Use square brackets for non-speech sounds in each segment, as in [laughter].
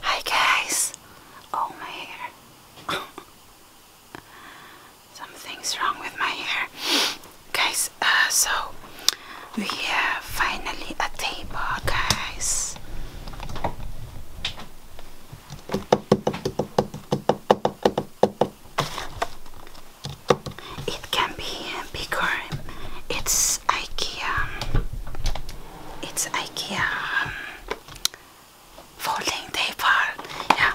Hi guys! Oh my hair. [laughs] Something's wrong with my hair. Guys, uh, so we have finally a table, guys. It can be bigger. It's IKEA it's IKEA um, folding paper. Yeah,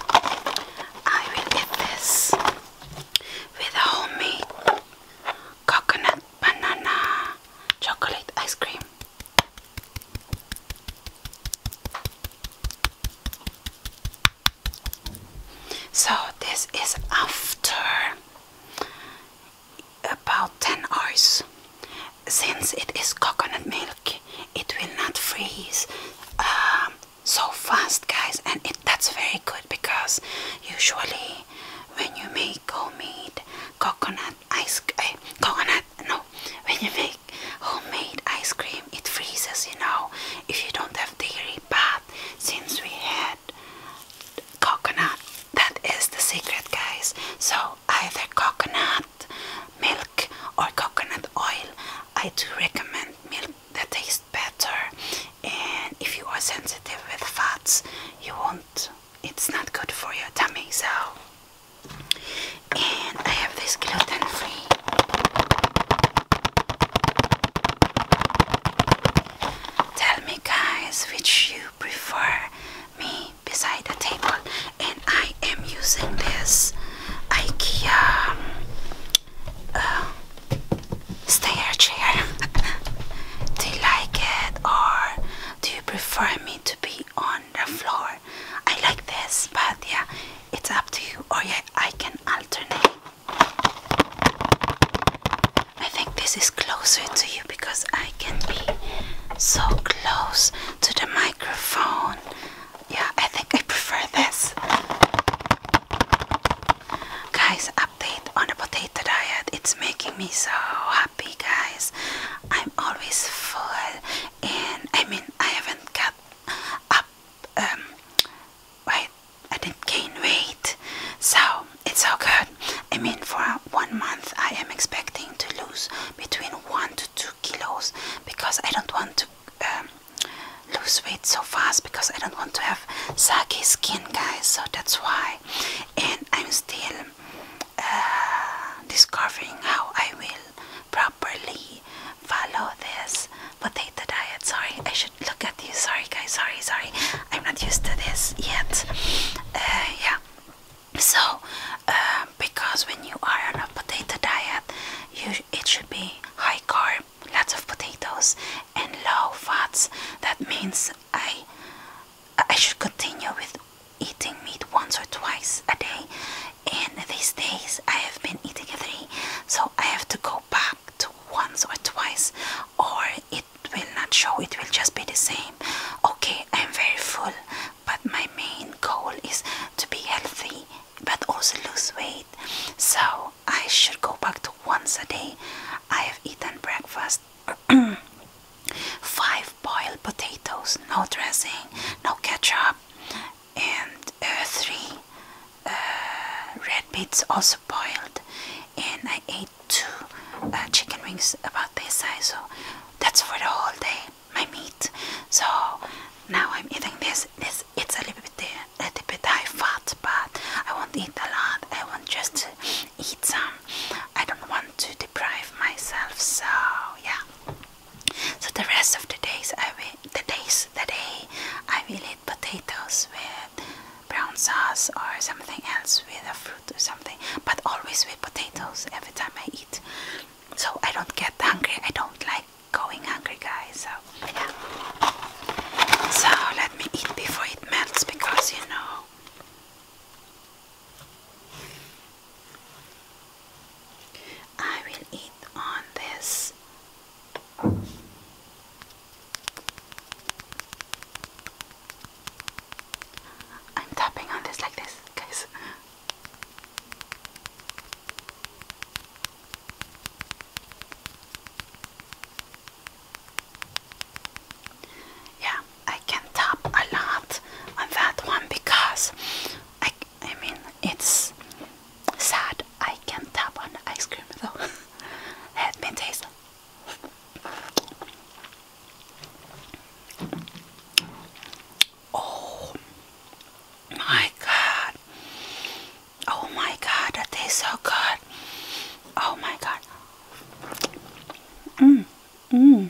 I will eat this with a homemade coconut banana chocolate ice cream. So this is after about 10 hours. Since it is coconut milk, it will not freeze um, so fast, guys, and that's very good because usually when you make homemade coconut ice, eh, coconut no, when you make homemade ice cream, it freezes, you know, if you don't have dairy. But since we had coconut. That is the secret, guys. So either coconut milk or coconut oil. I do recommend milk that tastes better. And if you are sensitive with fats, you won't. It's not good for your tummy. So, and I have this gluten-free. Tell me, guys, which you prefer me beside the table and I am using this IKEA uh, stair chair. [laughs] do you like it or do you prefer me to be on the floor? I like this but yeah it's up to you or oh yeah I can alternate. I think this is closer to you because I can be so close to the microphone. Yeah, I think I prefer this. Guys, update on the potato diet. It's making me so happy, guys. I'm always full, and I mean, I haven't got up. Wait, um, I, I didn't gain weight, so it's so good. I mean for one month I am expecting to lose between one to two kilos because I don't want to um, lose weight so fast because I don't want to have saggy skin guys so that's why and I'm still uh, discovering how I will properly follow this potato diet sorry I should look at you sorry guys sorry sorry I'm not used to this yet uh, yeah so uh, because when you are on a potato diet you it should be high carb lots of potatoes and low fats that means i i should continue with eating meat once or twice a day and these days i have been eating three so i have to go back to once or twice or it will not show, it will just be the same. Okay, I'm very full, but my main goal is to be healthy but also lose weight. So I should go back to once a day. I have eaten breakfast. [clears throat] Five boiled potatoes, no dressing, no ketchup, and uh, three uh, red beets also boiled. And I ate two uh, chicken wings about this size so that's for the whole day my meat so now I'm eating this this it's a little bit uh, a little bit high fat but I won't eat a lot I want just to eat some I don't want to deprive myself so yeah so the rest of the days I will the days the day I will eat potatoes with brown sauce or something else with a fruit or something, but always with potatoes every time I eat. So I don't get hungry. I don't like going hungry, guys. So yeah. So let me eat before it melts because you know. I will eat on this I'm tapping on this like this, guys. Yeah, I can tap a lot on that one because I, I mean, it's sad. I can tap on the ice cream though. [laughs] Let me taste Oh my god. Oh my god, that tastes so good. Oh my god. Mmm.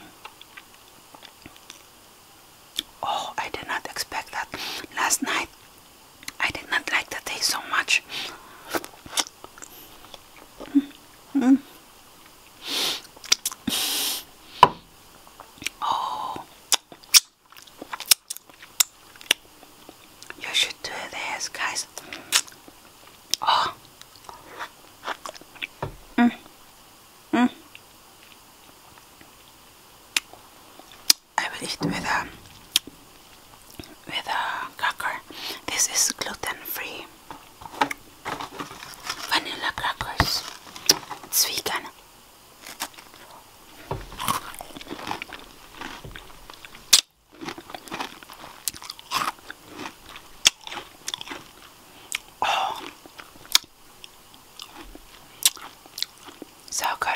Oh, I did not expect that. Last night I did not like the taste so much. Oh. You should do this, guys. Oh. Mm. Mm. I will eat with a with uh, cracker. This is gluten-free vanilla crackers. It's vegan. Oh. So good.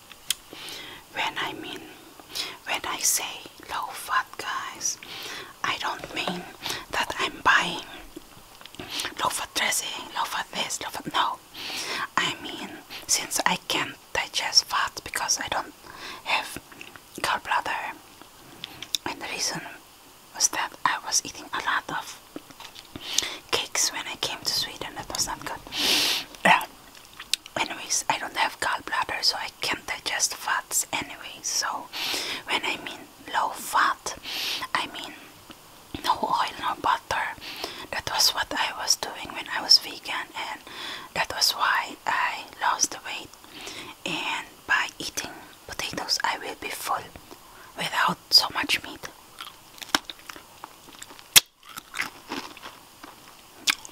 When I mean, when I say low fat, guys, I don't mean that I'm buying low fat dressing, low fat this, low fat no. I mean, since I can't digest fat because I don't have gallbladder, and the reason was that I was eating a lot of cakes when I came to Sweden. That was not good. [sniffs] anyways i don't have gallbladder so i can't digest fats anyway so when i mean low fat i mean no oil no butter that was what i was doing when i was vegan and that was why i lost the weight and by eating potatoes i will be full without so much meat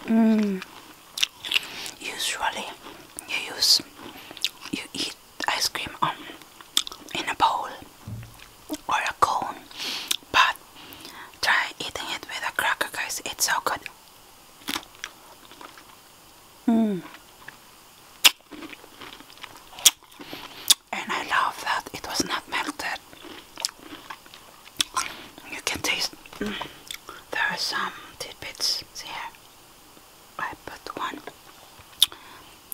Mm. Usually, you use you eat ice cream on um, in a bowl or a cone, but try eating it with a cracker, guys. It's so good. Mm. And I love that it was not melted. You can taste mm. there are some tidbits here. I put one.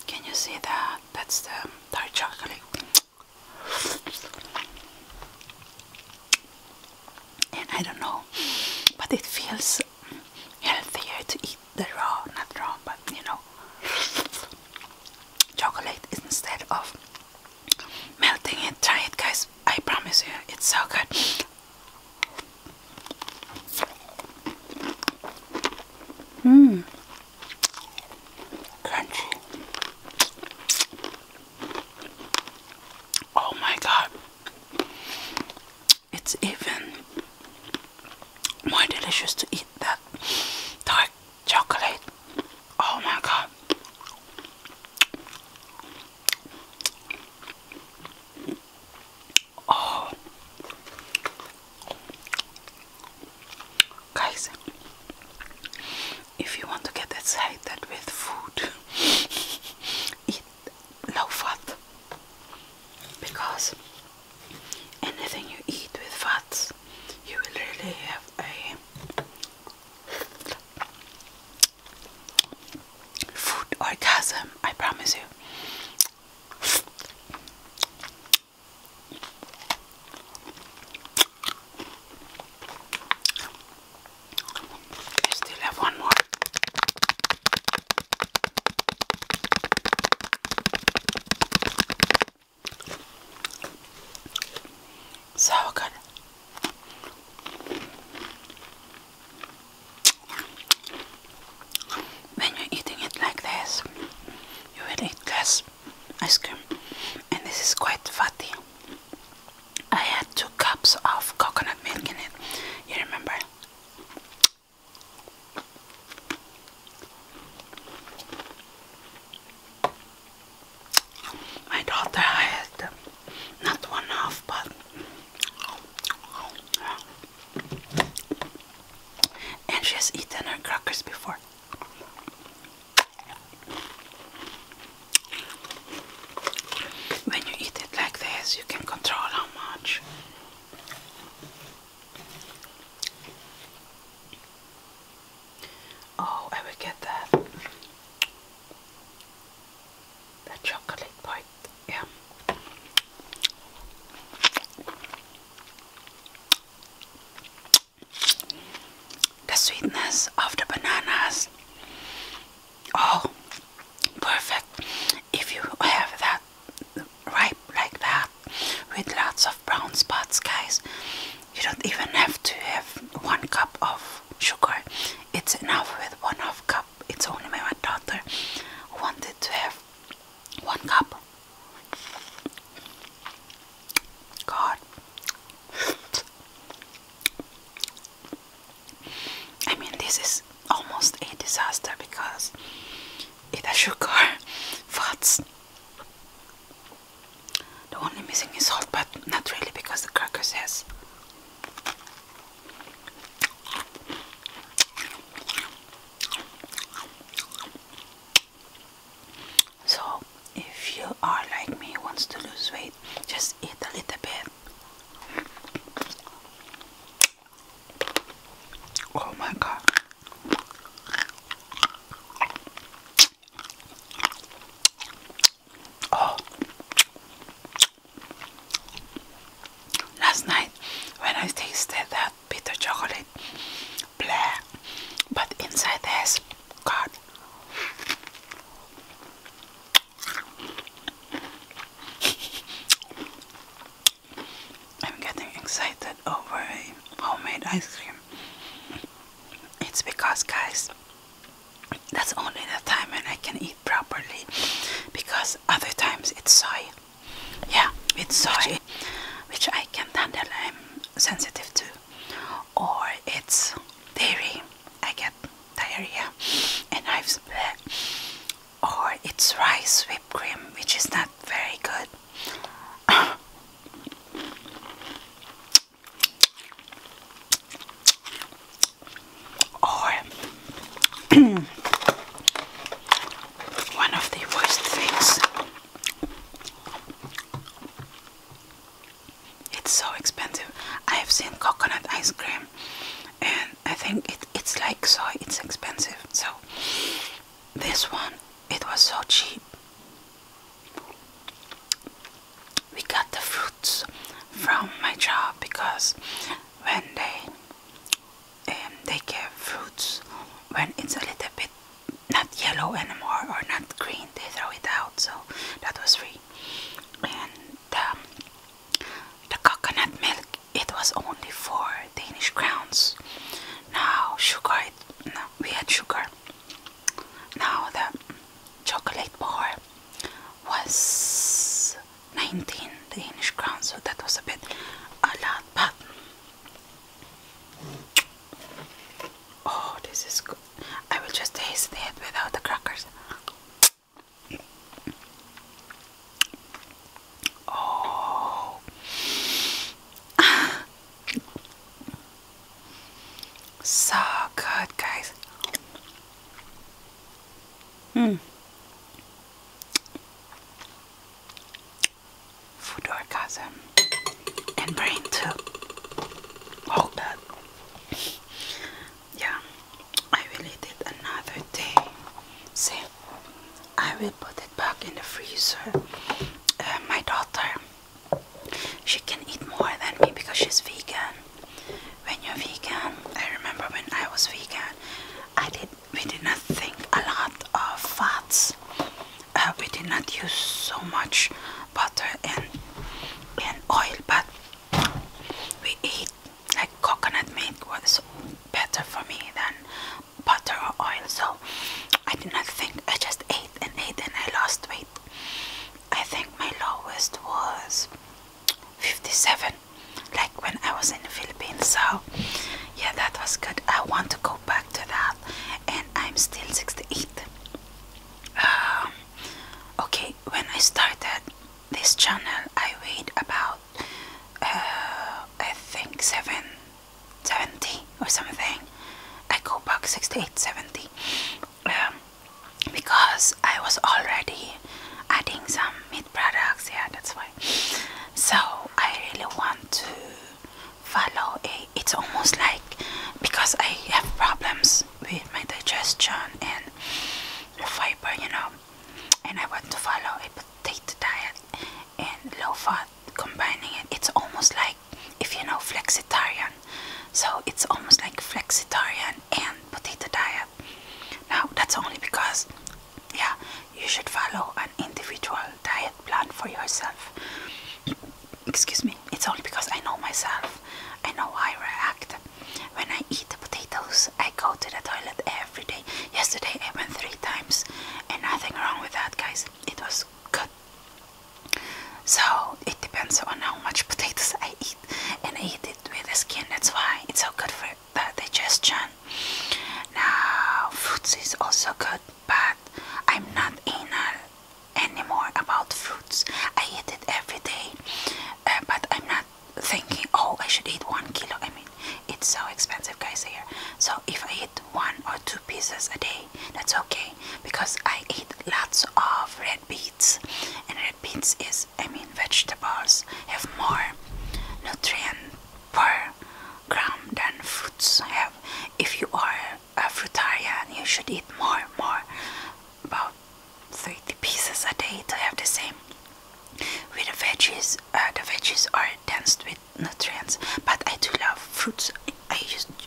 Can you see that? That's the dark chocolate. And I don't know, but it feels healthier to eat the raw, not raw, but you know, chocolate instead of melting it. Try it, guys. I promise you, it's so good. Mmm, crunchy. Oh my god, it's even more delicious to eat that dark chocolate. Oh my god. Oh. Guys, if you want to get excited with food, [laughs] eat low fat because anything you eat with fats, you will really have a Food orgasm, I promise you. still have one more. So good. When you're eating it like this, you will eat less ice cream, and this is quite fatty. I had two cups of coconut milk in it, you remember? My daughter had not one half, but and she has eaten her crackers before. When you eat it like this, you can control how much. Oh, I would get that. The chocolate bite, yeah. The sweetness of the bananas. Oh, perfect. If you have that ripe like that with lots brown spots, guys. You don't even have to have one cup of sugar. It's enough with one half cup. It's only my daughter wanted to have one cup. God. I mean, this is almost a disaster because it has sugar, [laughs] fats, the only missing is salt, but not really because the crackers has so if you are like me wants to lose weight just eat a little bit oh my god Oh. Last night when I tasted that bitter chocolate, black, but inside has God. I'm getting excited over homemade ice cream. It's because, guys, that's only the time when I can eat properly because other times it's soy. Yeah, it's soy, which I can't handle, I'm sensitive to. Or it's dairy, I get diarrhea and I've split. Or it's rice whipped cream, which is not very good. Or [clears throat] of the worst things. It's so expensive. I have seen coconut ice cream and I think it, it's like so it's expensive. So this one it was so cheap we got the fruits from my job because when they um, they give fruits when it's a little bit not yellow anymore or not green they throw it out so that was free and um, the coconut milk it was only four Danish crowns now sugar chocolate. No, we had sugar. Now the chocolate bar was 19 Danish crowns, so that was a bit a lot, but oh, this is good. I will just taste it without the crackers. Oh, [laughs] So good, guys. Hmm. Food orgasm and brain too. Hold that. Yeah, I really did another day. See, I will put it back in the freezer. Uh, my daughter, she can eat more than me because she's vegan. When you're vegan, I remember when I was vegan, I did we did not think a lot of fats. Uh, we did not use so much butter and and oil, but we eat like coconut milk was better for me than butter or oil so I did not think I just ate and ate and I lost weight I think my lowest was 57 like when I was in the Philippines so yeah that was good I want to go back to that and I'm still 68 um, okay when I started this channel I weighed about uh, I think 7 70 or something I go back 68 70 um, because I was already adding some meat products yeah that's why so I really want to follow it. it's almost like because I have problems with my digestion and fiber you know and I want to follow a potato diet and low fat combining it. It's almost like if you know flexitarian. So it's almost like flexitarian and potato diet. Now that's only because yeah, you should follow an individual diet plan for yourself. Excuse me. It's only because I know myself. I know I react. When I eat the potatoes, I go to the toilet every day. Yesterday I went three times and nothing wrong with that guys. It was good. So it depends on how much potatoes I eat and I eat it with the skin. That's why it's so good for the digestion. Now fruits is also good but I'm not anal anymore about fruits. I eat it every day uh, but I'm not thinking oh I should eat one kilo. I mean it's so expensive guys here. So if I eat one or two pieces a day. That's okay because I eat lots of red beets, and red beets is, I mean, vegetables have more nutrient per gram than fruits have. If you are a fruitarian, you should eat more, more about 30 pieces a day to have the same. With the veggies, uh, the veggies are dense with nutrients but i do love fruits i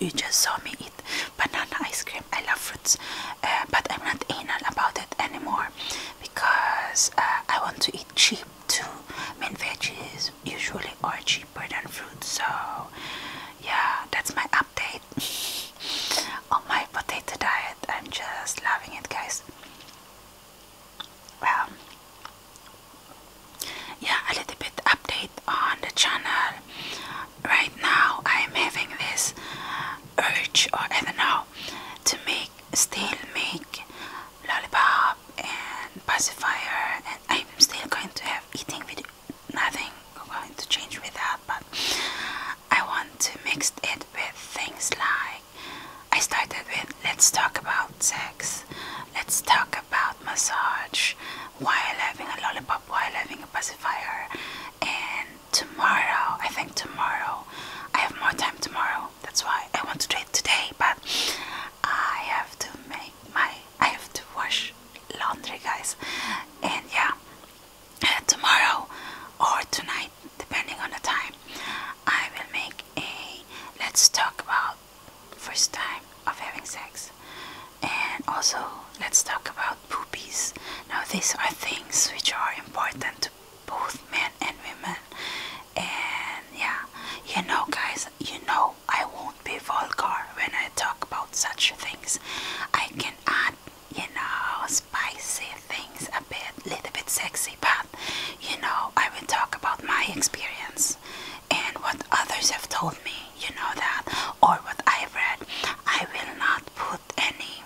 you just saw me eat banana ice cream i love fruits uh, but i'm not anal about it anymore because uh, i want to eat cheap too i mean veggies usually are cheaper than fruits so yeah that's my update [laughs] on my potato diet i'm just loving it guys um, yeah, a little bit update on the channel. Right now, I am having this urge, or I don't know, to make still make lollipop and pacifier, and I'm still going to have eating video. Nothing going to change with that, but I want to mix it with things like I started with let's talk about sex, let's talk about massage, while having a lollipop, while having a pacifier, and tomorrow, I think tomorrow, I have more time tomorrow. That's why I want to do it today, but I have to make my, I have to wash laundry, guys, and yeah, tomorrow or tonight, depending on the time. I will make a let's talk about first time of having sex and also let's talk about poopies. Now these are things which are important to both men and women and yeah you know guys you know I won't be vulgar when I talk about such things. I can add you know spicy things a bit little bit sexy you know, I will talk about my experience and what others have told me, you know that, or what I've read. I will not put any,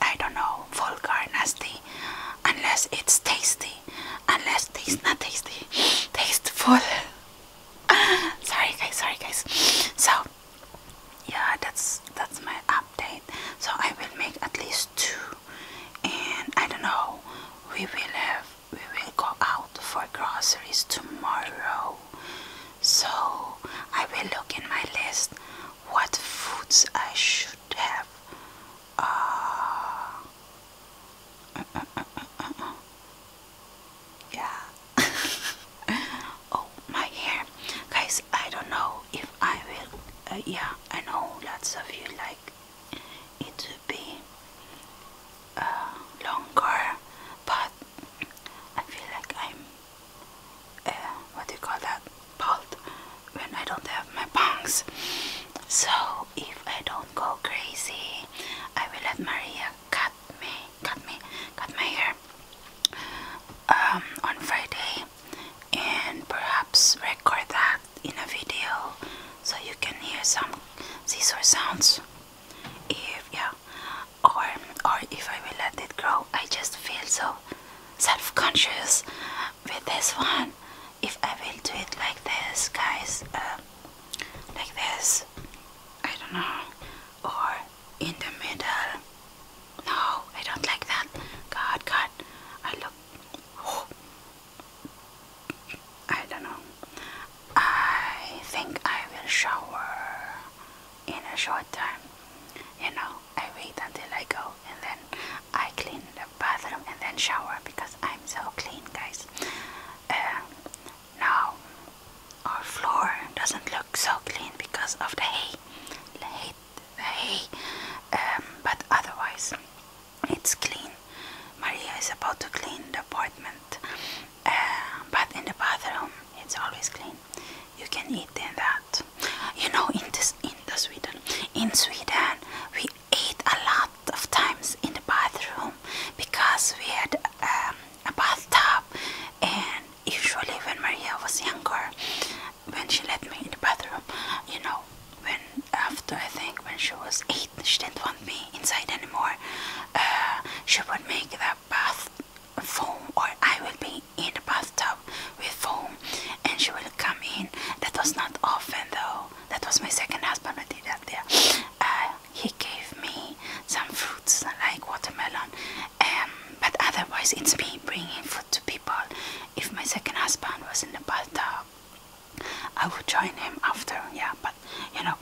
I don't know, vulgar, nasty, unless it's tasty, unless it's not tasty, [laughs] tasteful. [laughs] sorry guys, sorry guys. So yeah, that's that's my update. So I will make at least two and I don't know we will have we will go out for groceries tomorrow so I will look in my list what foods I should have uh, [laughs] yeah [laughs] oh my hair guys I don't know if I will uh, yeah I know lots of you like it would be uh, longer, but I feel like I'm uh, what do you call that? Bald when I don't have my bangs. So if I don't go crazy, I will let Maria cut me, cut me, cut my hair um, on Friday, and perhaps record that in a video so you can hear some scissor sounds if yeah or or if I will let it grow I just feel so self-conscious with this one if I will do it like this guys um, like this I don't know or in the middle no I don't like that God God I look I don't know. I think I will shower in a short time. You know, I wait until I go and then I clean the bathroom and then shower because I'm so clean, guys. Um, now, our floor doesn't look so clean because of The hay hay, um, but otherwise it's clean. Maria is about to clean the apartment, uh, but in the bathroom it's always clean. You can eat in that. You know, in this, in the Sweden, in Sweden we ate a lot of times in the bathroom because we had um, a bathtub, and usually when Maria was younger, when she let me in the bathroom, you know, when after I think when she was eight, she didn't want me inside anymore. Uh, she would make that bath foam, or I will be in the bathtub with foam, and she will come in. That was not often though. That was my second husband who did that. Yeah, uh, he gave me some fruits like watermelon, um, but otherwise it's me bringing food to people if my second husband was in the bathtub, I would join him after, yeah, but you know,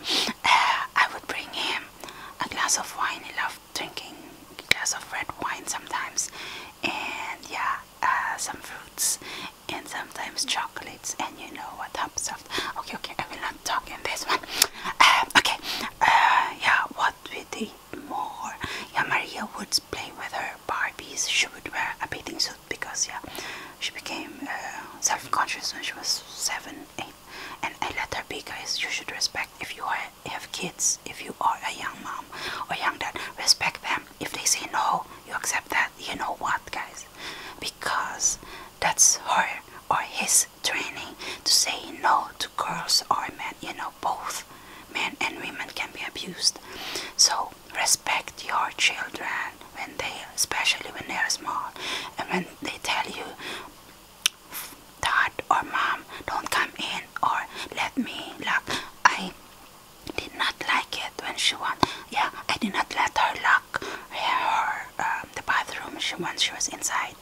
uh, I would bring him a glass of wine. He loved drinking a glass of red wine sometimes, and yeah, uh, some fruits and sometimes chocolates. And you know what happens after? Okay, okay, I will not talk in this one. Uh, okay, yeah, what we do more. Yeah, Maria would play with her Barbies. She would wear a bathing suit because yeah, she became uh, self-conscious when she was seven, eight. And I let her be, guys. You should respect if you have kids, if you are a young mom or young dad, respect them. If they say no, you accept that. You know what, guys? Because that's her or his training to say no to girls or men. You know both men and women can be abused. So respect your children when they, especially when they are small, and when they tell you, "Dad or Mom, don't come in," or "Let me lock," I did not like it when she went. Yeah, I did not let her lock her um, the bathroom. She when she was inside,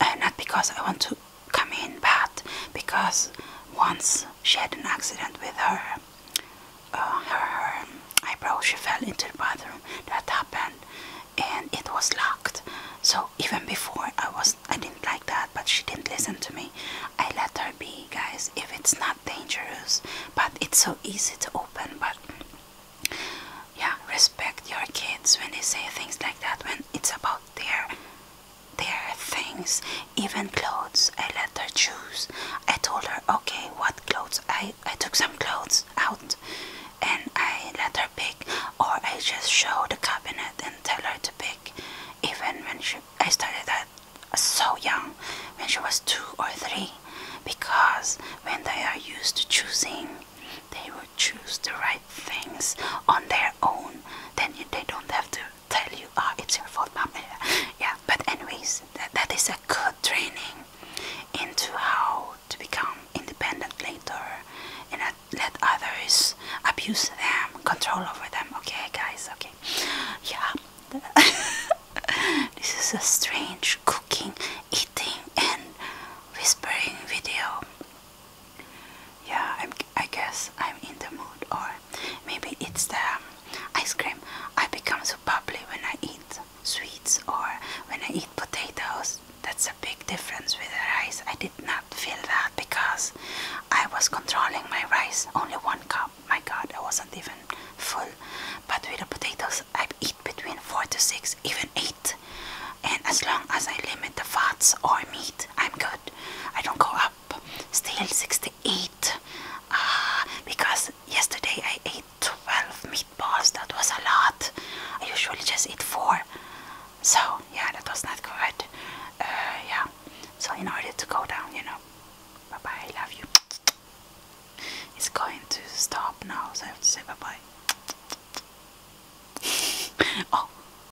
uh, not because I want to come in but because once she had an accident with uh, her her eyebrow she fell into the bathroom that happened and it was locked so even before i was i didn't like that but she didn't listen to me i let her be guys if it's not dangerous but it's so easy to open but yeah respect your kids when they say things like that when it's about their their things, even clothes. I let her choose. I told her, okay, what clothes? I, I took some clothes out and I let her pick, or I just show the cabinet and tell her to pick. Even when she, I started that so young, when she was two or three, because when they are used to choosing, they will choose the right things on their own. Then they don't have to tell you, oh, it's your fault, mom. [laughs] Yeah, but anyways, that, that is a good training into how to become independent later and not let others abuse them, control over them. Okay, guys, okay. Yeah. [laughs] this is a strange cooking, eating, and whispering video. Yeah, I'm, I guess I'm in the mood, or maybe it's the um, ice cream. I become so bubbly when I eat sweets or when I eat potatoes. That's a big difference with rice. I did not feel that because I was controlling my rice. Only one cup. My god, I wasn't even full. But with the potatoes, I eat between 4 to 6, even 8. And as long as I limit the fats or meat, I'm good. I don't go up still 68 uh, because yesterday I ate 12 meatballs that was a lot I usually just eat four so yeah that was not good uh, yeah so in order to go down you know bye bye I love you it's going to stop now so I have to say bye bye [laughs] oh